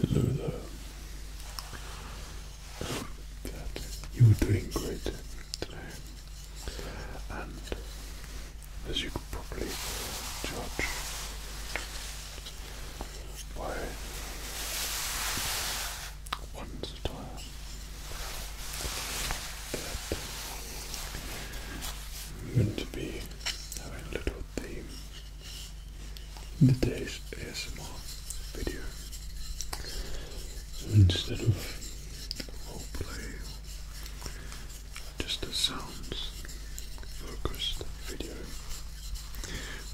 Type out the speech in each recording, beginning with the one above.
Hello you were doing great today, and as you could probably judge by one's attire, that I'm going to be having a little theme in today's ASMR video. Instead of roleplay, just a sounds focused video,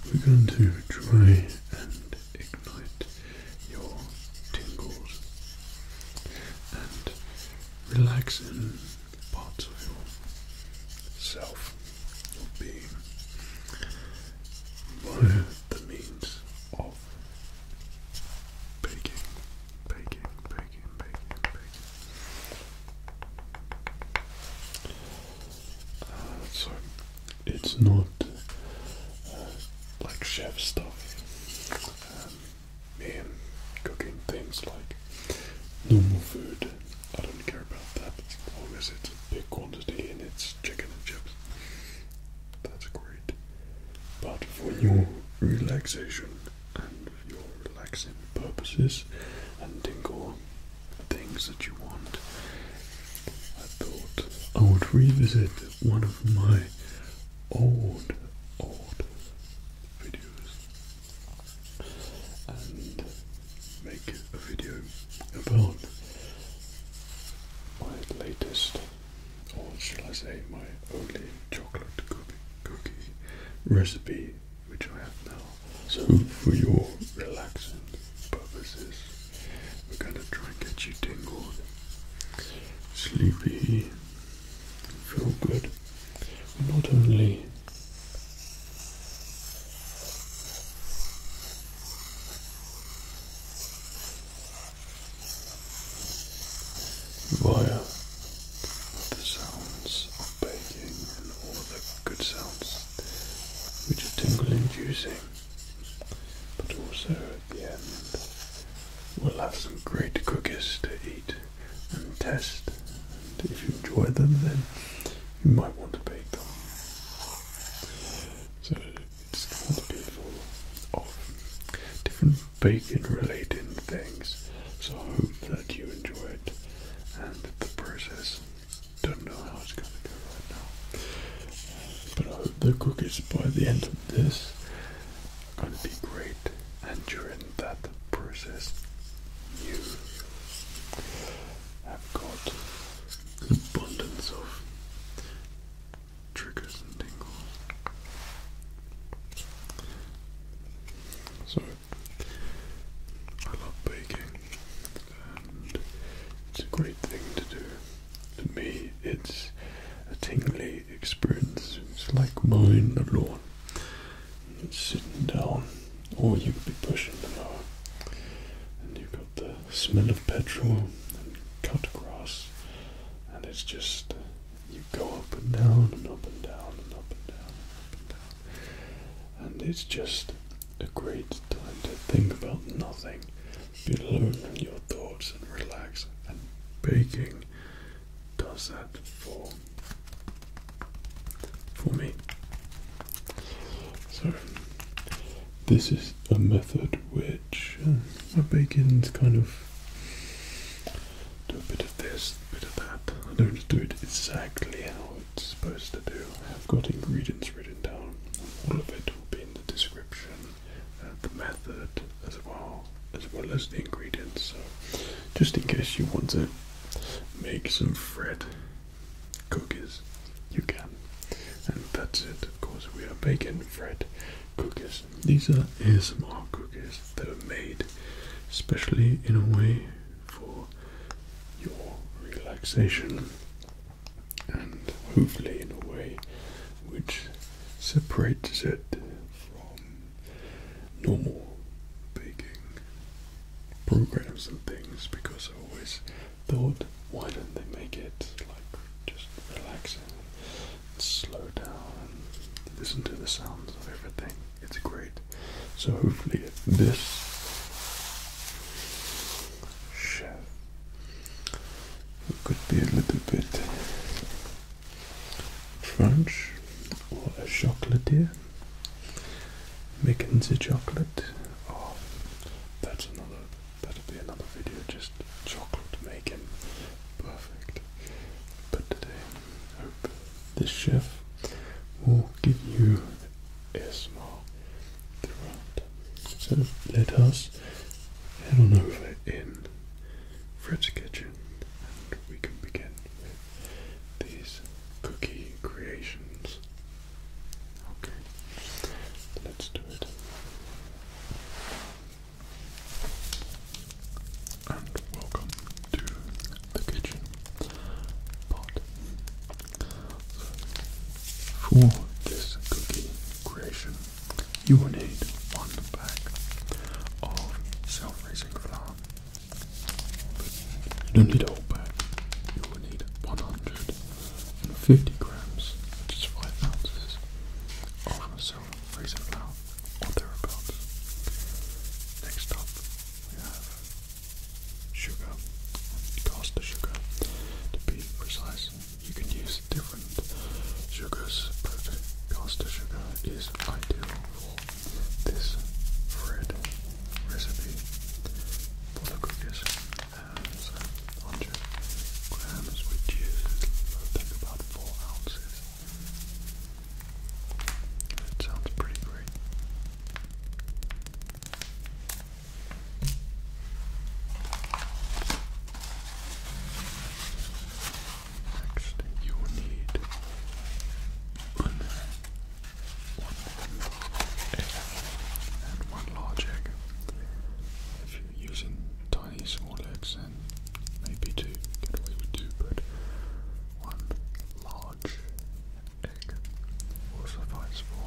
we're going to try and ignite your tingles and relax in parts of yourself be via the means of baking, baking, baking, baking, baking. Uh, so it's not uh, like chef stuff. Um, me and cooking things like normal food I don't care about that as long as it's a big quantity and it's chicken and chips. That's great. But for your relaxation and your relaxing purposes and tingle things that you want, I thought I would revisit one of my old, old videos and make a video about my latest, or shall I say, my only chocolate cookie, cookie recipe which I have now. So, for your relaxing purposes, we're going to try and get you tingled, sleepy, feel good, not only via the sounds of baking and all the good sounds which are tingle inducing, but also at the end we'll have some great cookies to eat and test if you enjoy them, then you might want to bake them. So it's going to be of different bacon-related things. So I hope that you enjoyed, and the process. Don't know how it's going to go right now, but I hope the cookies by the end of this are going to be great. And you're during that process, you i have got an abundance of triggers and tingles. So, I love baking, and it's a great thing to do. To me, it's a tingly experience. It's like mowing the lawn, it's sitting down or you could be pushing the mower. And you've got the smell of petrol and cut grass, and it's just you go up and down and up and down and up and down and up and down. And it's just a great time to think about nothing, be alone in your thoughts and relax. And baking does that for for me. So, this is a method which uh, my bacon's kind of do a bit of this, a bit of that. I don't do it exactly how it's supposed to do. I've got ingredients written down. All of it will be in the description, uh, the method as well, as well as the ingredients. So, just in case you want to make some Fred cookies you can. And that's it, of course, we are baking bread cookies. These are ASMR cookies that are made especially in a way for your relaxation and hopefully in a way which separates it from normal baking programs and things because always thought, why don't they make it like just relaxing, slow down, and listen to the sounds of everything? It's great. So hopefully this chef could be a little bit French or a chocolatier Making the chocolate. Oh, that's another. That'll be another video. Just chocolate making, perfect. But today, I this chef will give you a small throughout. So let us head on over in Fred's kitchen, and we can begin with these cookie creations. Okay, let's do it. And welcome to the kitchen pot. For this cookie creation, you will need one bag of self-raising flour. you don't need a whole bag. You will need 100 50 grams, which is 5 ounces, of silver razor flour, or thereabouts. Next up, we have sugar, caster sugar. To be precise, you can use different sugars, but caster sugar is ideal for this bread recipe butter cookies has uh, 100 grams, which is, about 4 ounces. It sounds pretty great. Next, you will need an one egg and one large egg. If you're using tiny small eggs, then maybe two, get away with two, but one large egg will suffice for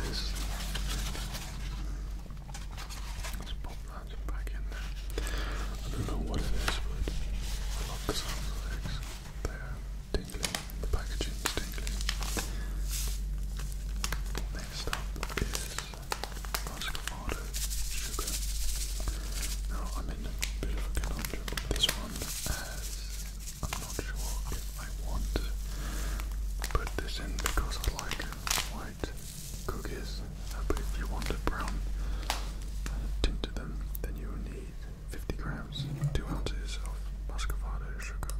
this. Let's pop that back in there. I don't know what it is, but I love the sound of eggs. they tingling, the packaging's tingling. Next up is muscovado sugar. Now I'm in a bit of a conundrum with this one as I'm not sure if I want to put this in because I like white cookies, uh, but if you want a brown uh, them, then you need 50 grams, 2 ounces of muscovado sugar.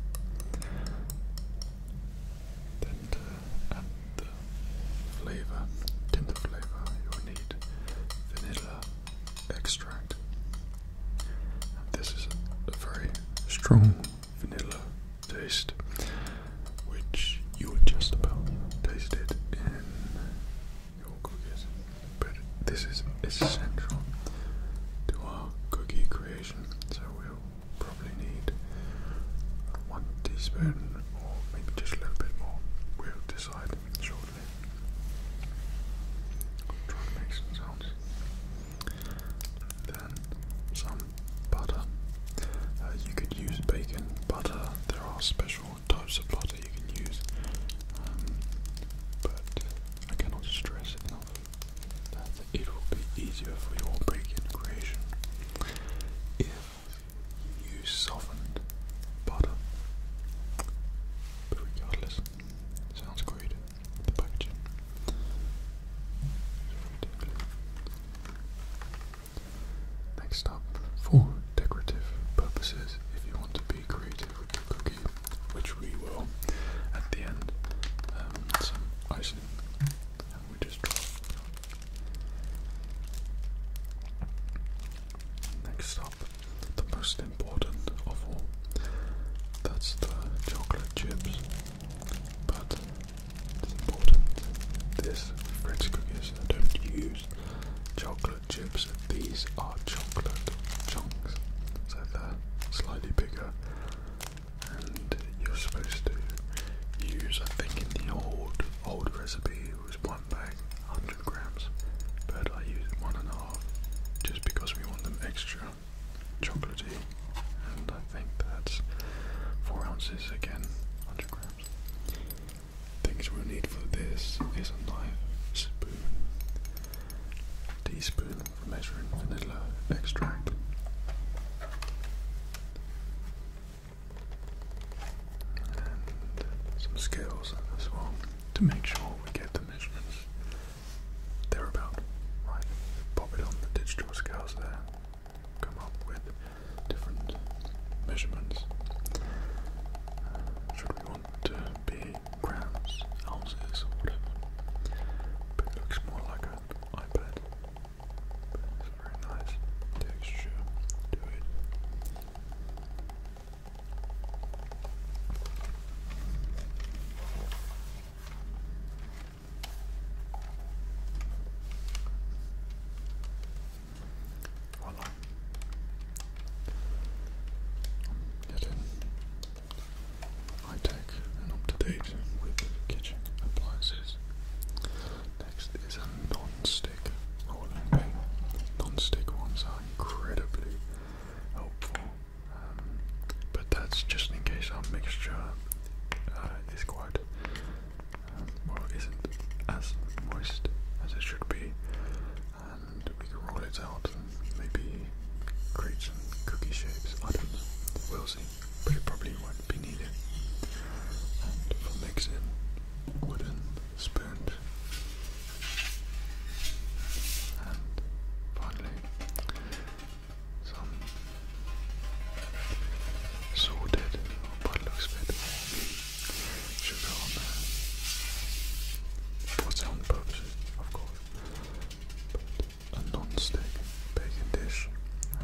Then uh, add the flavor, tint of flavor, you'll need vanilla extract. And this is a very strong vanilla taste, which you'll just about taste it in your cookies. But this is essential to our cookie creation so we'll probably need one teaspoon or maybe just a little bit more. We'll decide shortly. Try to Then some butter. Uh, you could use bacon butter. There are special types of butter you can use, um, but I cannot stress enough that it will be easier for your break-in creation if you use softened butter. But regardless, sounds great. The packaging. Next up, for decorative purposes, if you want to be creative which we will at the end. Um, some icing, we just drop. Next up, the most important of all. That's the chocolate chips. But it's important. This Fritz cookies I don't use chocolate chips. These are chocolate chunks. So they're slightly bigger and you're supposed to use, I think, in the old old recipe it was one bag, 100 grams, but I use one and a half just because we want them extra chocolatey, and I think that's four ounces again, 100 grams. Things we'll need for this is a knife, spoon, teaspoon of measuring vanilla extract. And some scales as well to make sure we get the measurements thereabout. Right, pop it on the digital scales there, come up with different measurements. Uh, should we want to be grams, ounces, whatever. But it looks more like an iPad. it's very nice texture to it. Voila. That's it. I take an up to date with kitchen appliances. Next is a non stick rolling pin. Non stick ones are incredibly helpful, um, but that's just in case our mixture uh, is quite, um, well, isn't as moist as it should be, and we can roll it out maybe create some cookie shapes, I don't know, we'll see, but it probably won't be needed. for mixing, wooden spoons. And finally, some sorted, oh, but looks a bit sugar For sound purposes, of course a non-stick baking dish.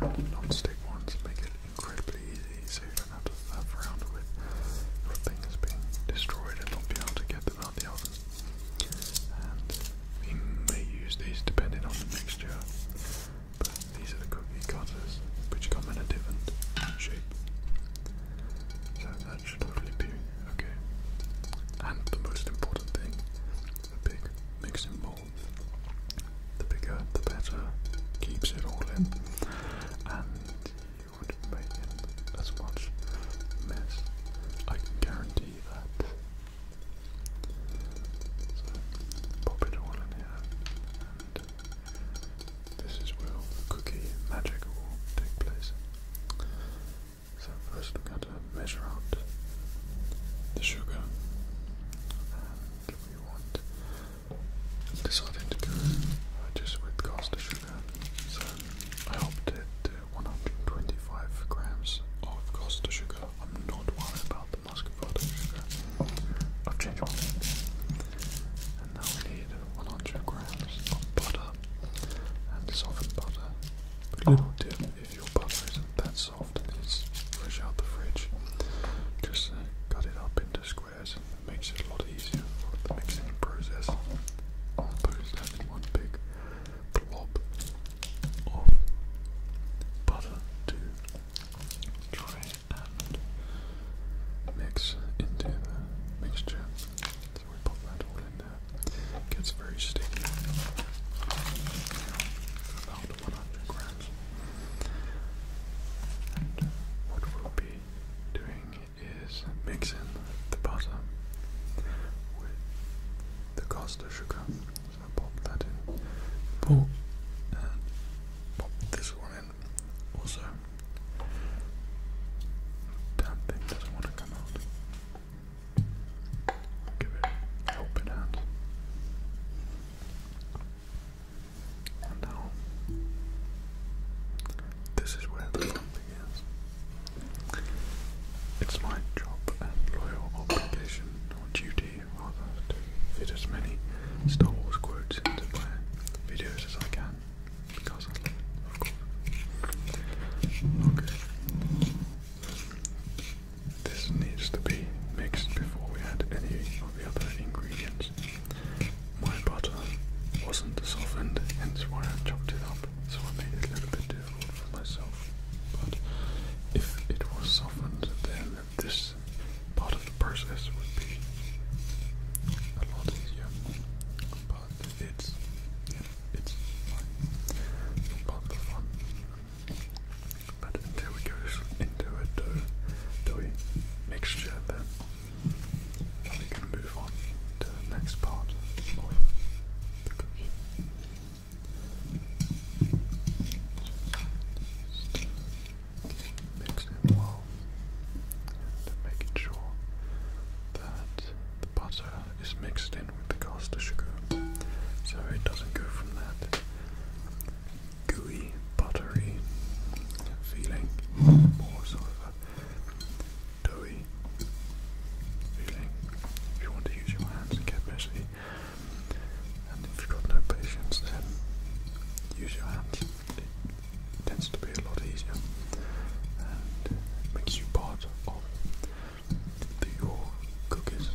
Non-stick ones make it incredibly easy, so you don't have to faff around with your things being destroyed and not be able to get them out the oven. And we may use these depending on the mixture, but these are the cookie cutters, which come in a different shape. So that should hopefully be okay. And the most important thing, the big mixing bowl. The bigger, the better, keeps it all in, and you would make as much mess. I can guarantee that. So, pop it all in here, and this is where the cookie magic will take place. So first we're going to measure out the sugar and um, we want decided to go just with caster sugar. So I opted to 125 grams of caster sugar. I'm not worried about the muscovado sugar. I've changed my mind. And now we need 100 grams of butter and softened butter. little oh dip if your butter isn't that soft just it's fresh out the fridge, just uh, cut it up into squares. It makes it a lot easier for the mixing process. Opposed to one big blob of butter to try and mix into the mixture. So we pop that all in that gets very sticky. About 100 grams. And what we'll be doing is mixing the butter with the caster sugar. pop that in, pull, and pop this one in. Also, damn thing doesn't want to come out. Give it a hand. now, this is where the fun begins. It's my job and loyal obligation, or duty rather, to fit as many Star Wars quotes into my videos as I can, because I love it, of course. This needs to be mixed before we add any of the other ingredients. My butter wasn't softened, hence why I chopped it up, so I made it a little bit difficult for myself. But if it was softened, then this part of the process would be a lot easier. But it's it's Part of fun. But until we go into it though, till we then we can move on to the next part Mix it well and making sure that the butter is mixed in with the caster sugar, so it doesn't go from that gooey, buttery feeling, more sort of a doughy feeling. If you want to use your hands and get messy, and if you've got no patience, then use your hands. It tends to be a lot easier and makes you part of all your cookies.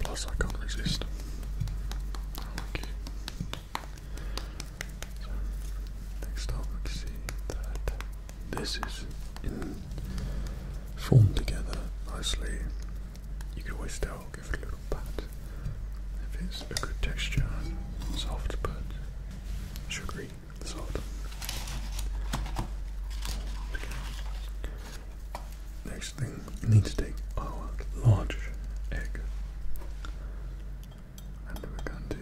Plus, I can't resist. Okay. next up, we see that this is formed together nicely. You can always tell, give it a little pat. If it's a good texture, soft but sugary salt. Next thing, we need to take our large egg and we're going to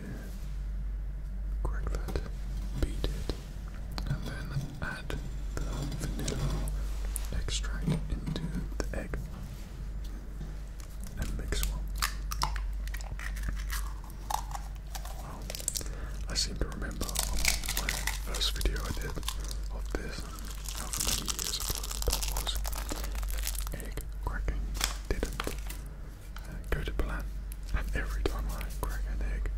crack that, beat it, and then add the vanilla extract into the egg and mix well. I seem to remember the first video I did of this, many years ago that was, egg cracking didn't uh, go to plan. And every time I crack an egg,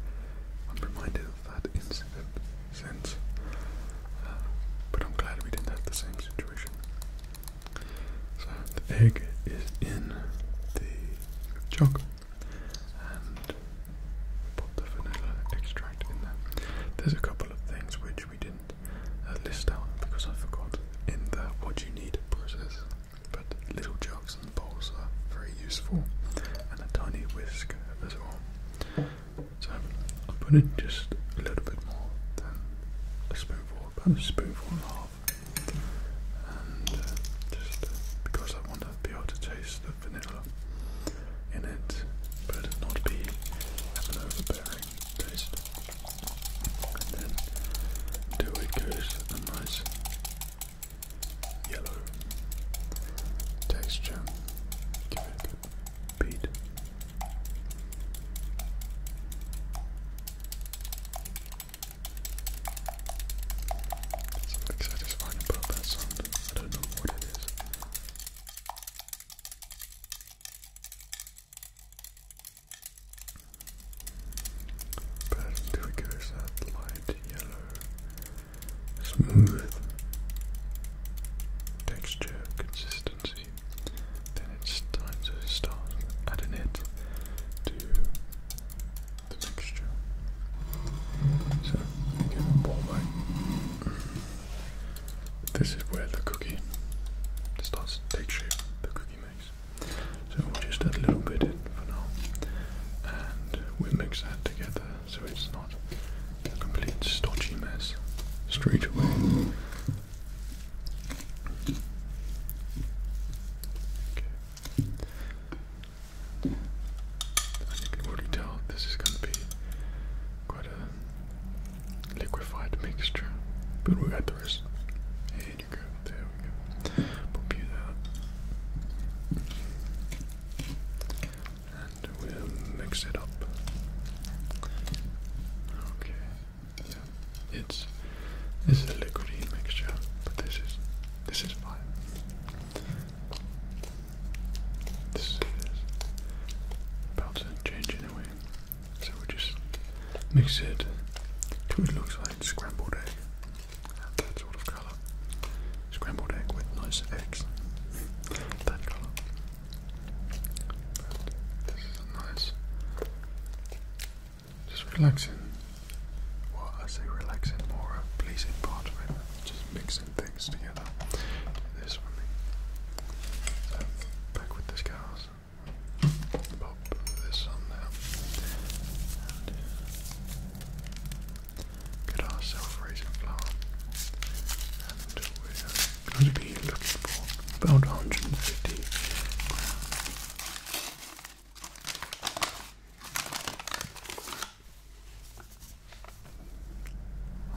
I'm reminded of that incident since. Uh, but I'm glad we didn't have the same situation. So the egg is in the jug and put the vanilla extract in there. There's a couple of things which we didn't uh, list out because I forgot in the what you need process, but little jugs and bowls are very useful, and a tiny whisk as well. So I put in just a little bit more than a spoonful, about a spoonful and a half. And uh, just uh, because I want to be able to taste the vanilla in it, but not be an overbearing taste. then do it goes a nice yellow texture. Give it beat. Something satisfying about sound. I don't know what it is. But there we that light yellow, smooth texture, consistency it's time to start adding it to the mixture. So, give it warm This is where the cookie starts to take shape, the cookie makes. So we'll just add a little bit in for now. And we'll mix that together so it's not a complete stodgy mess straight away. Okay. can already tell, this is going to be quite a liquefied mixture, but we'll add the rest. there we go. Pop you that. And we'll mix it up. Okay yeah, it's this is a liquidy mixture, but this is this is fine. This is about to change anyway, so we just mix it till it looks like scrambled egg. That sort of colour. Scrambled egg with nice eggs. that colour. this is nice just relaxing. I say relaxing, more a pleasing part of it. Just mixing things together. This for me. So, back with the scars. Pop this on there. get our self-raising flour. And we're going to be looking for about 150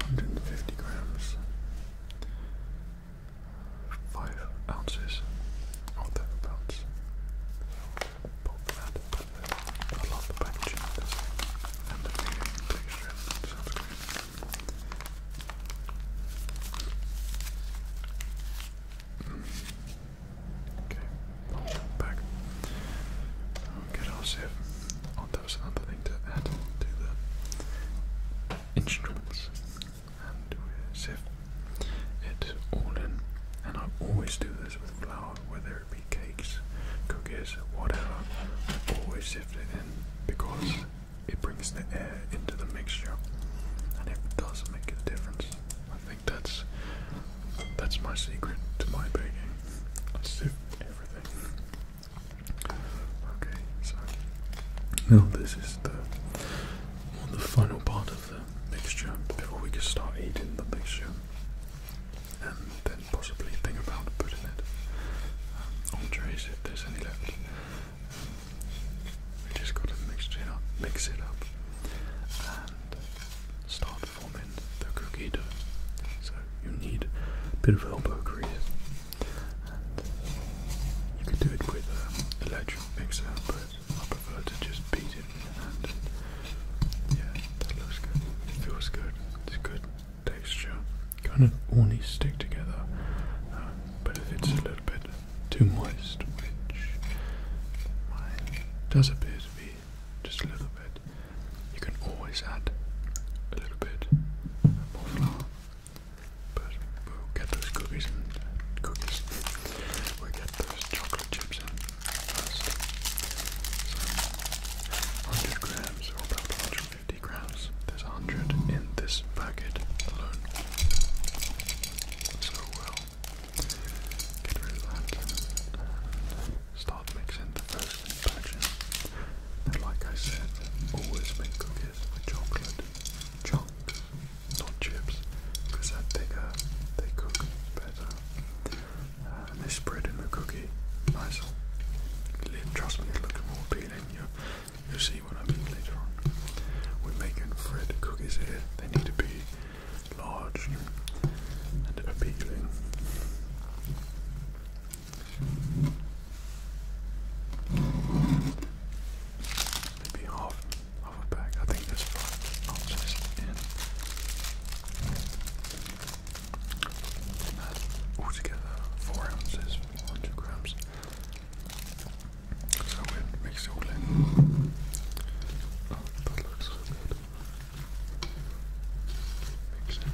Hundred and fifty grams, five ounces or thereabouts. So pop that in I of this and the texture. Sounds great. Okay, i back. Okay, I'll see if oh, that another thing to add to the instruments. And we'll see all in. And I always do this with flour, whether it be cakes, cookies, whatever. I always sift it in because it brings the air into the mixture and it does make a difference. I think that's that's my secret to my baking. I sift everything. Okay, so now this is the the final part of the mixture before we can start eating the mixture and then possibly think about putting it um, on trays if there's any left. We just got to mix it up, mix it up, and start forming the cookie dough. So you need a bit of elbow grease, and you can do it with an um, electric mixer, but I prefer to just beat it with your hand. Yeah, that looks good. It feels good. It's good texture. Kind of all these stick together, um, but if it's a little bit too moist, which does appear to be just a little bit. You can always add a little bit more flour, but we'll get those cookies and cookies. We'll get those chocolate chips in first. 100 grams, or about 150 grams. There's 100 in this packet alone. So well, Get rid of that and start mixing the first batch And like I said, always make cookies with chocolate chunks, not chips, because they're bigger, they cook better. Uh, and they spread in the cookie nicer. Trust me, it's looking more appealing. You'll, see what I mean later on. We're making Fred cookies here. They need to be large and appealing. Maybe half, half a pack. I think there's five ounces in. altogether, four ounces, 400 grams. So it makes you clean. Oh, that looks so good. Makes it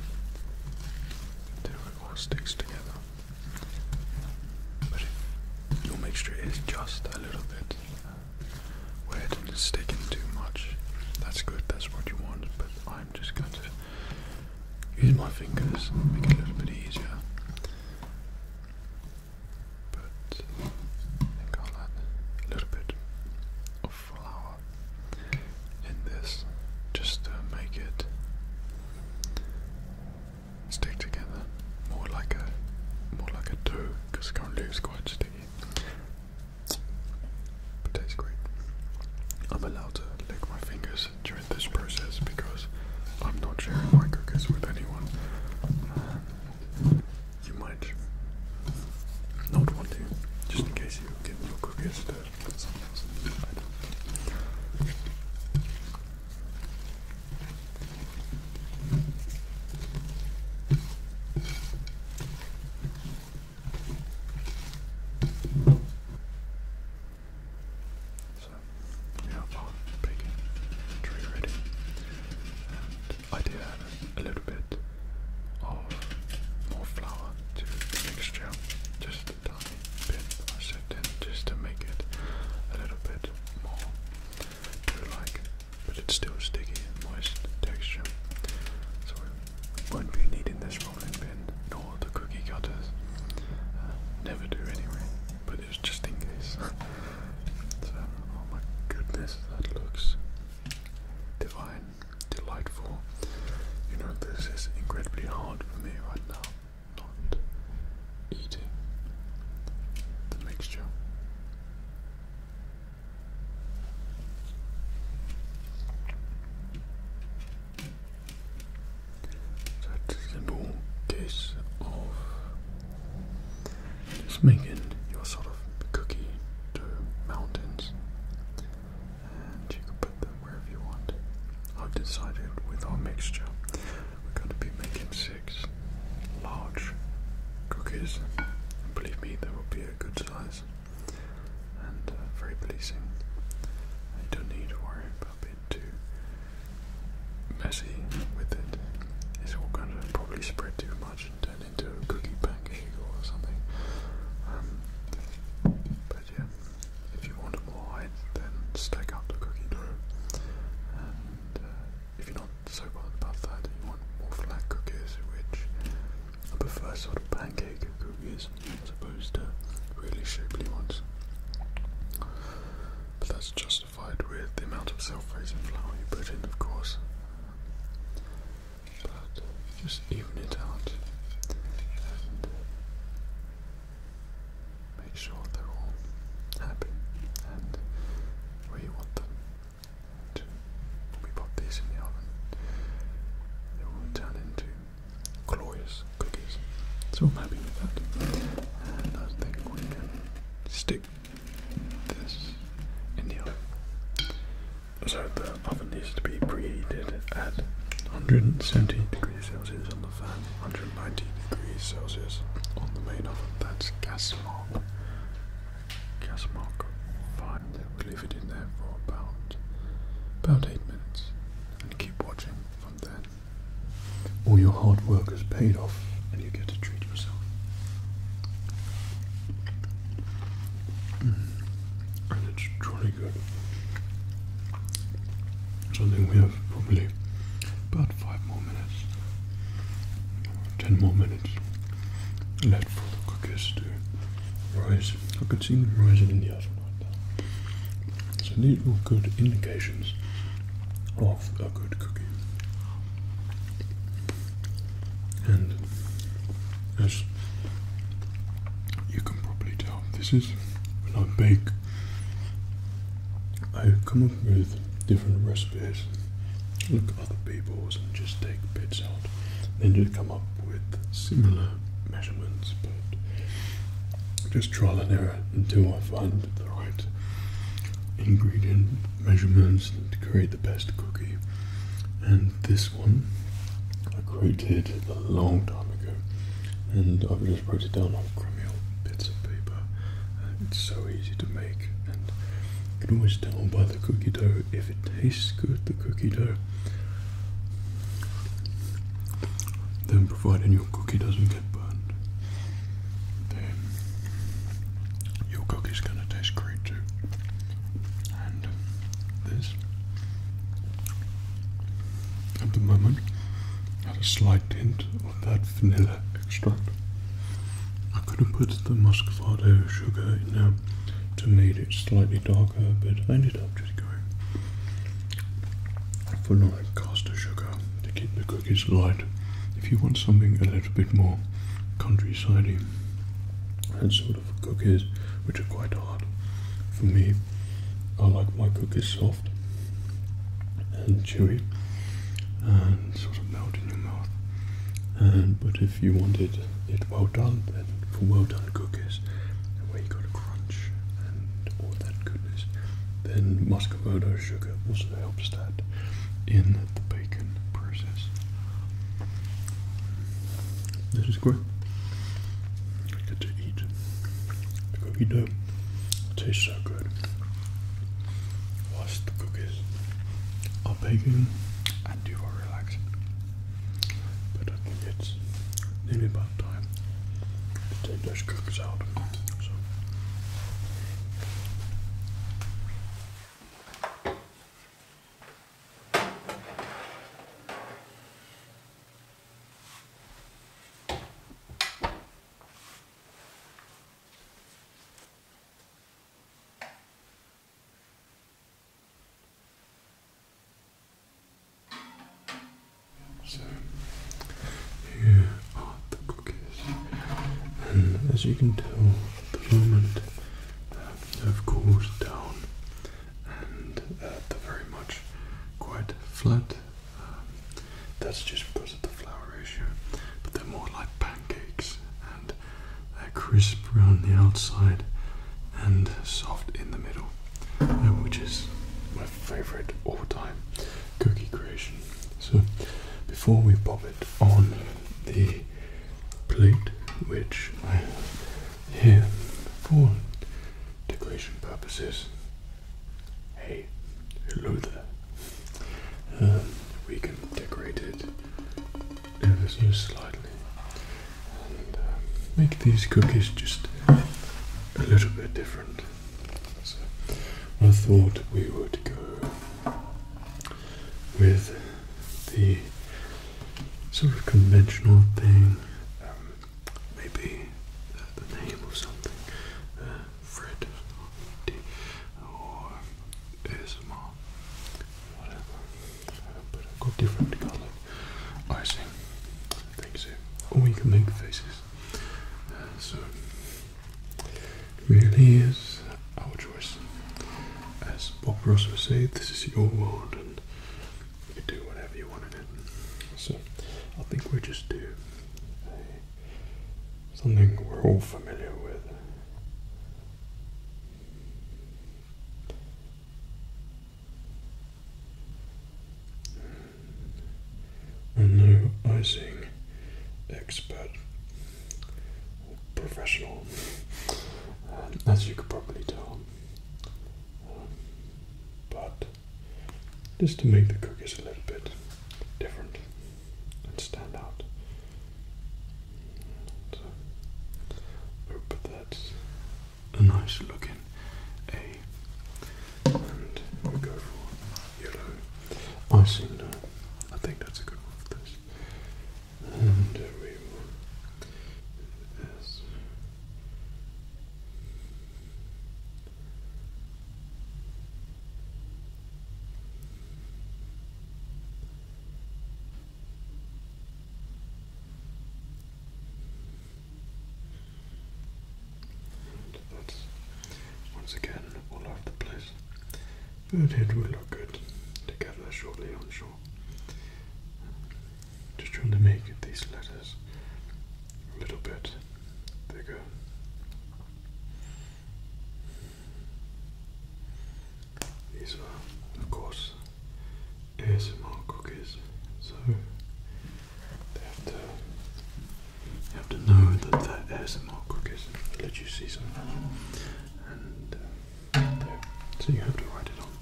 do it all sticks together. But if your mixture is just a little bit where it is sticking too much, that's good, that's what you want, but I'm just going to use my fingers, make it a little bit easier but I think I'll add a little bit of flour in this just to make it stick together more like a more like a dough because currently it's quite sticky. But tastes great. I'm allowed to lick my fingers during this process because I'm not sharing my cookies with anyone you might not want to, just in case you get your cookies to someone So, we big tree ready and I did add a little bit of more flour to the mixture, just a tiny bit I sipped in just to make it a little bit more like, but it's still sticky and moist texture. So we won't be needing this rolling pin nor the cookie cutters. Uh, never do anyway but it was just in case. so, oh my goodness, that looks divine, delightful. You know, this is incredibly hard for me right now. Not eating the mixture. That's simple case of just making your sort of cookie dough mountains, and you can put them wherever you want. I've decided with our mixture, we're going to be making six large cookies, believe me, they will be a good size and uh, very pleasing. I don't need to worry about being too messy with it. It's all going to probably spread too much and turn into a cookie pancake or something. Um, but yeah, if you want it more height, then stack up the cookie dough. And uh, if you're not so bothered about that, you want more flat cookies, which I prefer sort of pancake cookies as opposed to really shapely ones. But that's just with the amount of self-raising flour you put in, of course. But just even it out make sure they're all happy and where want them. And we pop these in the oven, they will turn into glorious cookies. So I'm happy with that. And I think we can stick this in the oven. So the oven needs to be preheated at 170 degrees Celsius on the fan, 190 degrees Celsius on the main oven. That's gas mark. Gas mark Fine. 5. We leave it in there for about about 8 minutes and keep watching from then. All your hard work has paid off you get to treat yourself. Hmm. And it's truly good. I think we have probably about five more minutes, ten more minutes left for the cookies to rise. I can see them rising in the oven like that. So these are good indications of a good cookie. And as you can probably tell, this is when I bake, I come up with different recipes, look at other people's, and just take bits out, then just come up with similar measurements, but just trial and error until I find the right ingredient measurements to create the best cookie. And this one I created a long time ago, and I've just wrote it down on crummy old bits of paper. it's so easy to make, and you can always tell by the cookie dough if it tastes good. The cookie dough. Then, providing your cookie doesn't get burned, your cookie's going to taste great too. And um, this, at the moment, has a slight hint of that vanilla extract. I could have put the muscovado sugar in there to make it slightly darker, but I ended up just going for like caster sugar to keep the cookies light. If you want something a little bit more countryside and sort of cookies which are quite hard. For me, I like my cookies soft and chewy and sort of melt in your mouth. And but if you wanted it well done, then for well done cookies, where you got a crunch and all that goodness, then muscovado sugar also helps that in the bacon process. This is great. Good to eat. The cookie dough tastes so good. Wash the cookies are baking and you are relaxing. But I think it's nearly about time to take those cookies out. So so, here are the cookies. And as you can tell at the moment, uh, um, they've cooled down and uh, they're very much quite flat. Um, that's just because of the flour ratio. But they're more like pancakes and they're crisp around the outside and soft in the middle, uh, which is my favorite all time cookie creation. So before we pop it on the plate, which I have here for decoration purposes, a hello there. Um, we can decorate it ever so slightly and uh, make these cookies just a little bit different. So I thought we would go with the sort of conventional thing, um, maybe the, name of something, uh, Fred or ASMR, whatever, uh, but I've got different colored icing, I think so, or you can make faces, uh, so really is our choice. As Bob Ross would say, this is your world and you do whatever you want in it. So I think we just do something we're all familiar with. I'm no icing expert professional, uh, as you could probably tell. Um, but just to make the cookies a little bit different and stand out. So, uh, hope that's a nice looking A. And we go for yellow I think that's a good one for this and we will this. And that's once again all over the place. But it will look good together shortly, I'm sure. Just trying to make these letters a little bit bigger. These are, of course, ASMR cookies, so they have to you have to know that they're ASMR cookies. i let you see some uh, so you have to write it on.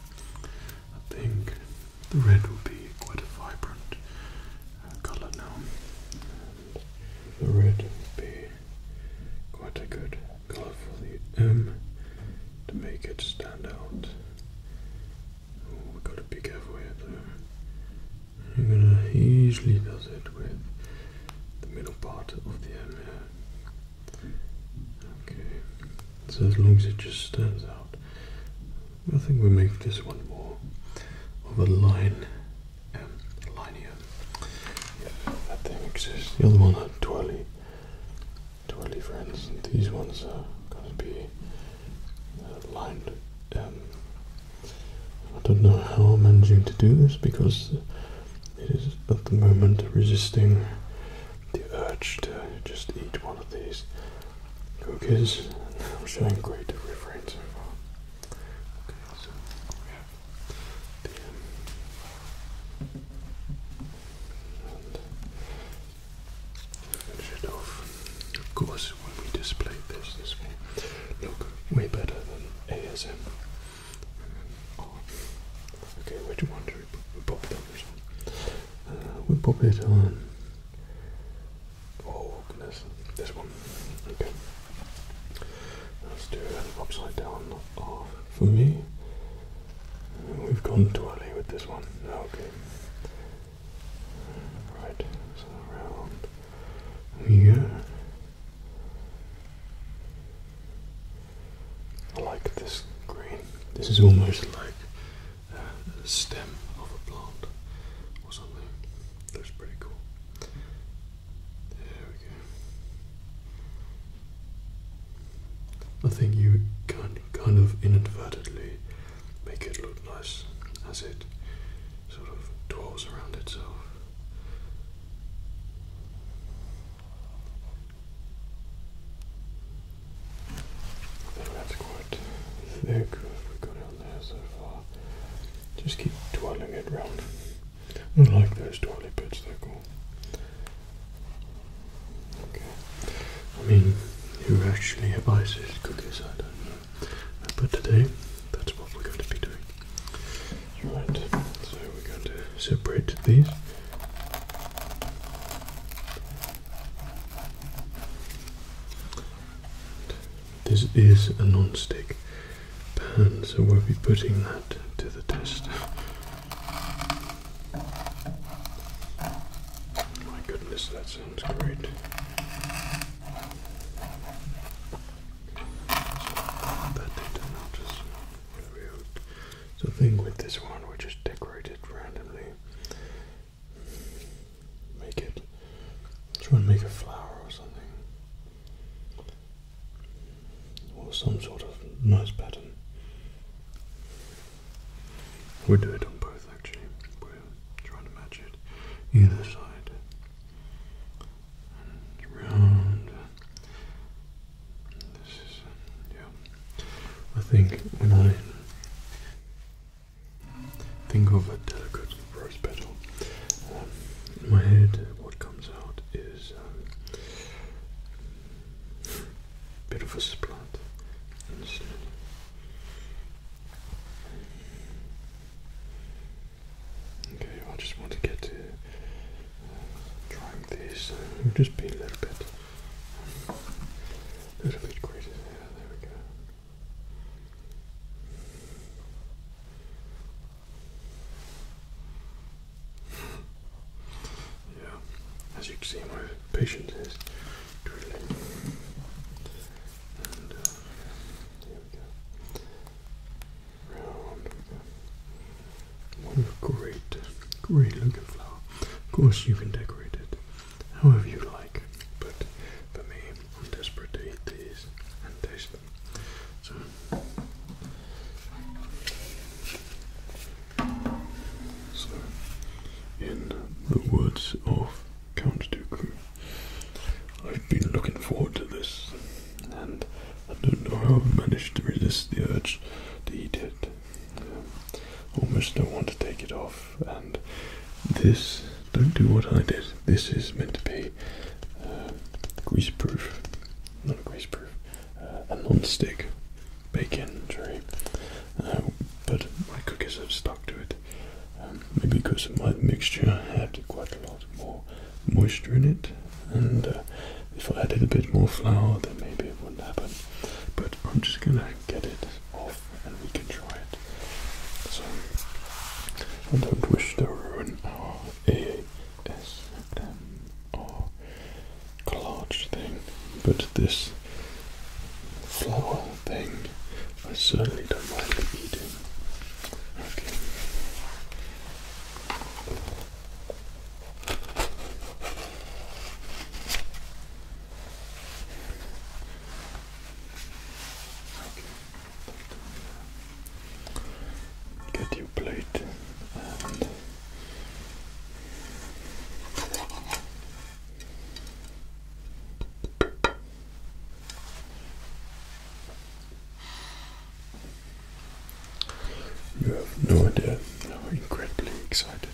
I think the red will be quite a vibrant uh, colour now. And the red will be quite a good colour for the M to make it stand out. we've got to be careful here though. i gonna easily does it with the middle part of the end Okay, so as long as it just stands out, I think we make this one more of a line um, line here. that thing exists. The other one are twirly, twirly friends. These ones are going to be uh, lined. Um, I don't know how I'm managing to do this because it is at the moment resisting the urge to just eat one of these cookies. I'm showing great refrain so far. Okay, so we have the and finish it off. Of course, when we display this, this will look way better than ASM. Okay, which one do we pop it on uh, we pop it on... Oh goodness, this one. Okay. Let's do an upside down off for me. We've gone too with this one. Okay. Right, so around here. I like this green. This is almost like uh, stem of a plant or something. That's pretty cool. There we go. I think you can kind of inadvertently make it look nice as it sort of twirls around itself. That's quite thick. we got on there so far. Just keep twirling it round. I like those twirly bits, they're cool. I mean, who actually ices cookies? I don't know. But today, that's what we're going to be doing. Right, so we're going to separate these. This is a non-stick pan, so we'll be putting that to the test. My goodness, that sounds great. that did not just so the thing with this one, we just decorate it randomly. Make it. Try and make a flower or something, or some sort of nice pattern. We do it on both actually. We're trying to match it either side. I think when I think of a delicate rose petal, um, my head what comes out is a um, bit of a splat Okay, I just want to get to uh, trying these. just be a little bit, little bit greater there. There we go. yeah, as you can see, my patience is dwindling. Uh, there we go. What a great, great looking flower. Of course, you can decorate it however you like, but for me, I'm desperate to eat these and taste them. So, in the words of Count Dooku, I've been looking forward to this and I don't know how I managed to resist the urge to eat it. almost don't want to take it off, and this don't do what I did. This is meant to be uh, greaseproof, not grease proof, uh, a non stick baking tray. Uh, but my cookies have stuck to it, um, maybe because of my mixture, I had quite a lot more moisture in it, and uh, if I added a bit more flour, then maybe it wouldn't happen. But I'm just gonna get it off, and we can try it. So I don't wish to ruin our ASMR collage thing, but this flour thing, I certainly don't mind eating. Okay. Get your plate you have no idea how incredibly excited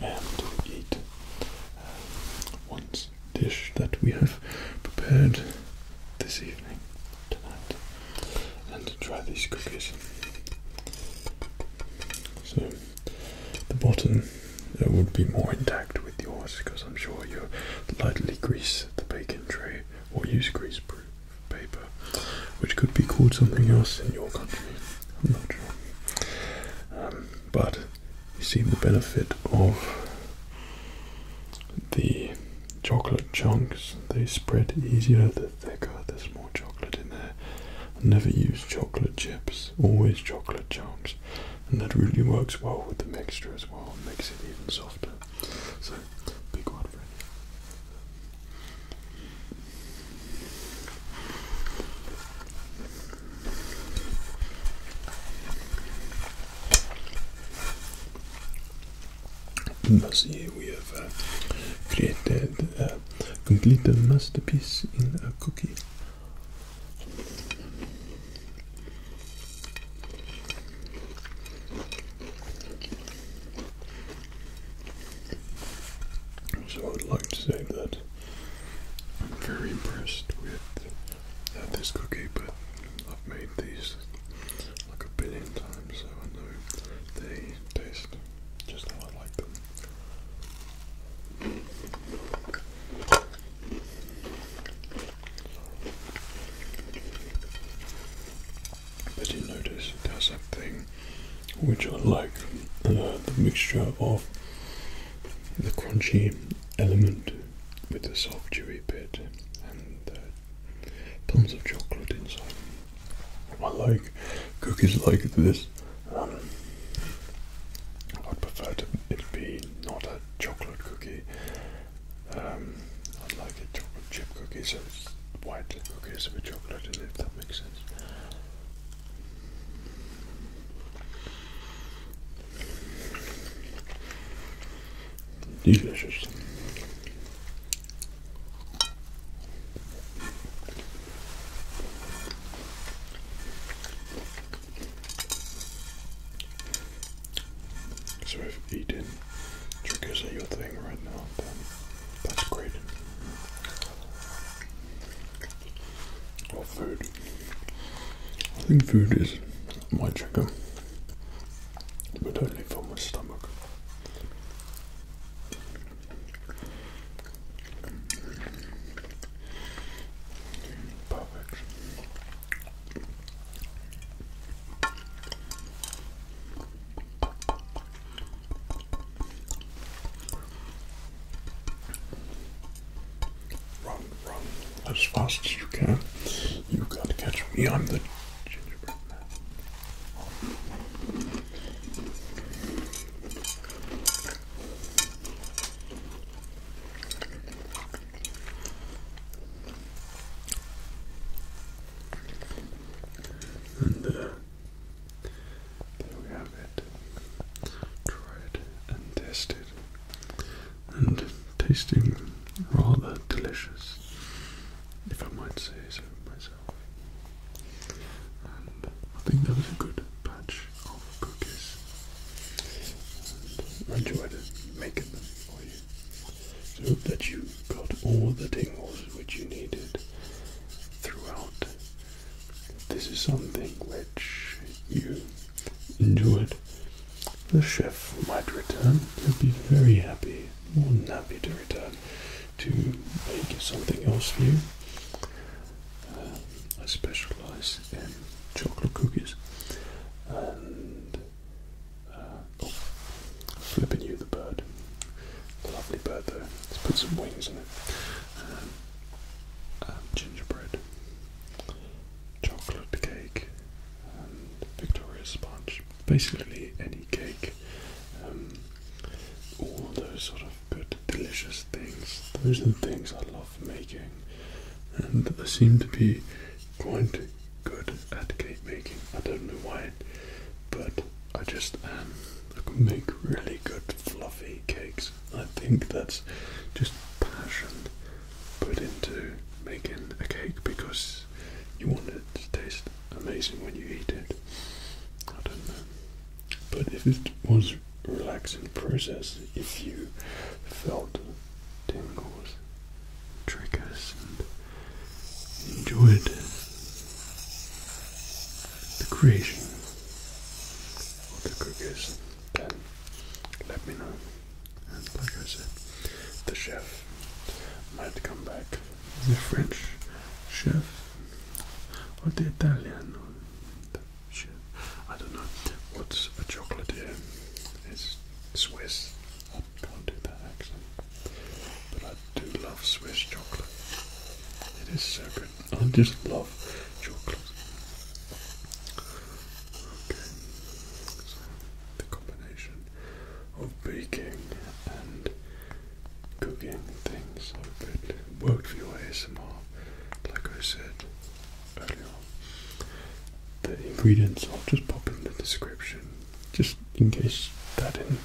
I am to eat uh, one dish that we have prepared this evening, tonight, and try these cookies. So, the bottom uh, would be more intact with yours because I'm sure you lightly grease the baking tray or use greaseproof paper, which could be called something else in your country. I'm not sure. Um, but you see the benefit of the chocolate chunks. They spread easier the thicker, there's more chocolate in there. I never use chocolate chips, always chocolate chunks. And that really works well with the mixture as well, it makes it even softer. So, big one for you. This we have uh, created a complete masterpiece in a cookie. So I'd like to say that I'm very impressed with this cookie, but I've made these like a billion times, so I know they taste just how I like them. But you notice it there's thing, which I like uh, the mixture of the crunchy element with the soft chewy bit and uh, tons of chocolate inside. I like cookies like this. Um, I'd prefer to, be not a chocolate cookie. Um, I like a chocolate chip cookie, so it's white cookies with chocolate in it, if that makes sense. Delicious. So I've eaten triggers are your thing right now, then that's great. Or food. I think food is my trigger, but only for my stomach. Perfect. Run, run as fast as you can. You can't catch me. I'm the gingerbread man. And uh, there we have it. Tried and tested. And tasting rather delicious, if I might say so myself. And I think that was a good batch of cookies. I enjoyed making them for you. So hope that you got all the tingles which you needed throughout. This is something which you enjoyed. The chef might return. He'll be very happy, more than happy to return to make something else for you. Uh, I specialize in chocolate cookies uh, Oh, flipping you the bird. Lovely bird though. Let's put some wings in it. Um, um, gingerbread, chocolate cake, and um, Victoria sponge. Basically any cake. all those sort of good, delicious things. Those are the things I love making. And I seem to be quite good at cake making. I don't know why, but I just um, I can make really good fluffy cakes. I think that's just passion put into making a cake because you want it to taste amazing when you eat it. I don't know. But if it was a relaxing process, if you felt tingles, triggers and enjoyed the creation of the cookies, then let me know. And like I said, the chef might come back, the French chef or the Italian chef. I don't know. What's a here? It's Swiss can't do that accent. But I do love Swiss chocolate. It is so good. I just love chocolate. Okay, so the combination of baking and cooking things so it worked for your ASMR, like I said earlier The ingredients I'll just pop in the description just in case that didn't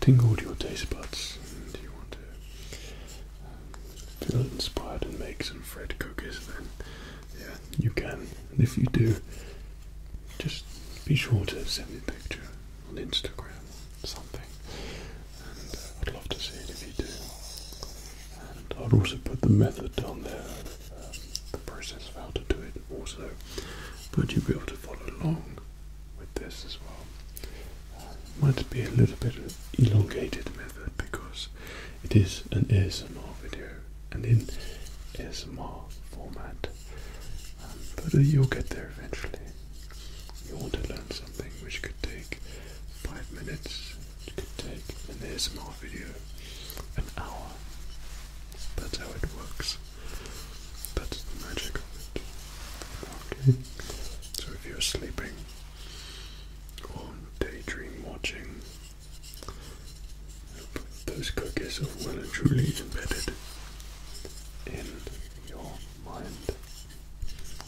tingle your taste buds and you want to um, feel inspired and make some fried cookies, then yeah, you can. And if you do, just be sure to send me a picture on Instagram or something. And uh, I'd love to see it if you do. And I'd also put the method down there, um, the process of how to do it also. But you'll be able to follow along with this as well. Uh, might be a little bit elongated method because it is an ASMR video and in ASMR format, um, but uh, you'll get there eventually. You want to learn something which could take five minutes, it could take an ASMR video, an hour. That's how it works. That's the magic of it. Okay. So if you're sleeping or daydream watching, those cookies are well and truly embedded in your mind.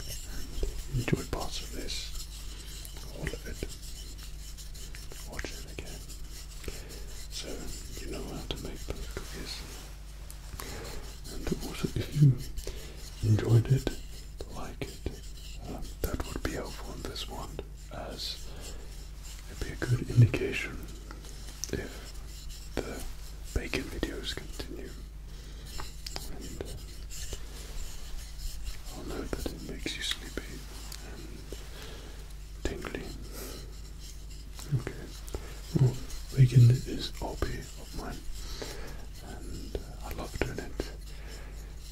And enjoy parts of this, all of it. Watch it again. So you know how to make those cookies. And also, if you enjoyed it, like it, um, that would be helpful in this one, as it'd be a good indication if the bacon videos continue. Uh, I'll know that it makes you sleepy and tingly. Okay. Well, baking is a hobby of mine, and uh, I love doing it.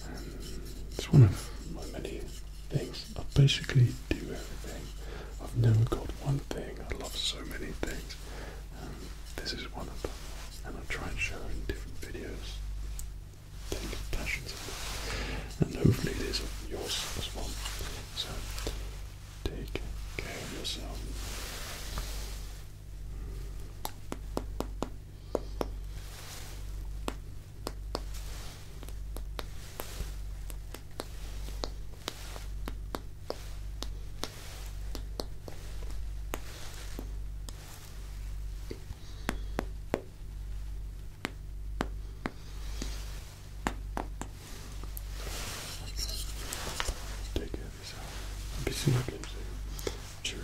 And it's one of my many things. I basically do everything. I've never got one thing. I love so many things. Um, this is one of them, and I try and show in different videos. Take passions and hopefully this is yours as well. So Take care of yourself. Take care of yourself. I'll be seeing you again soon. Cheers.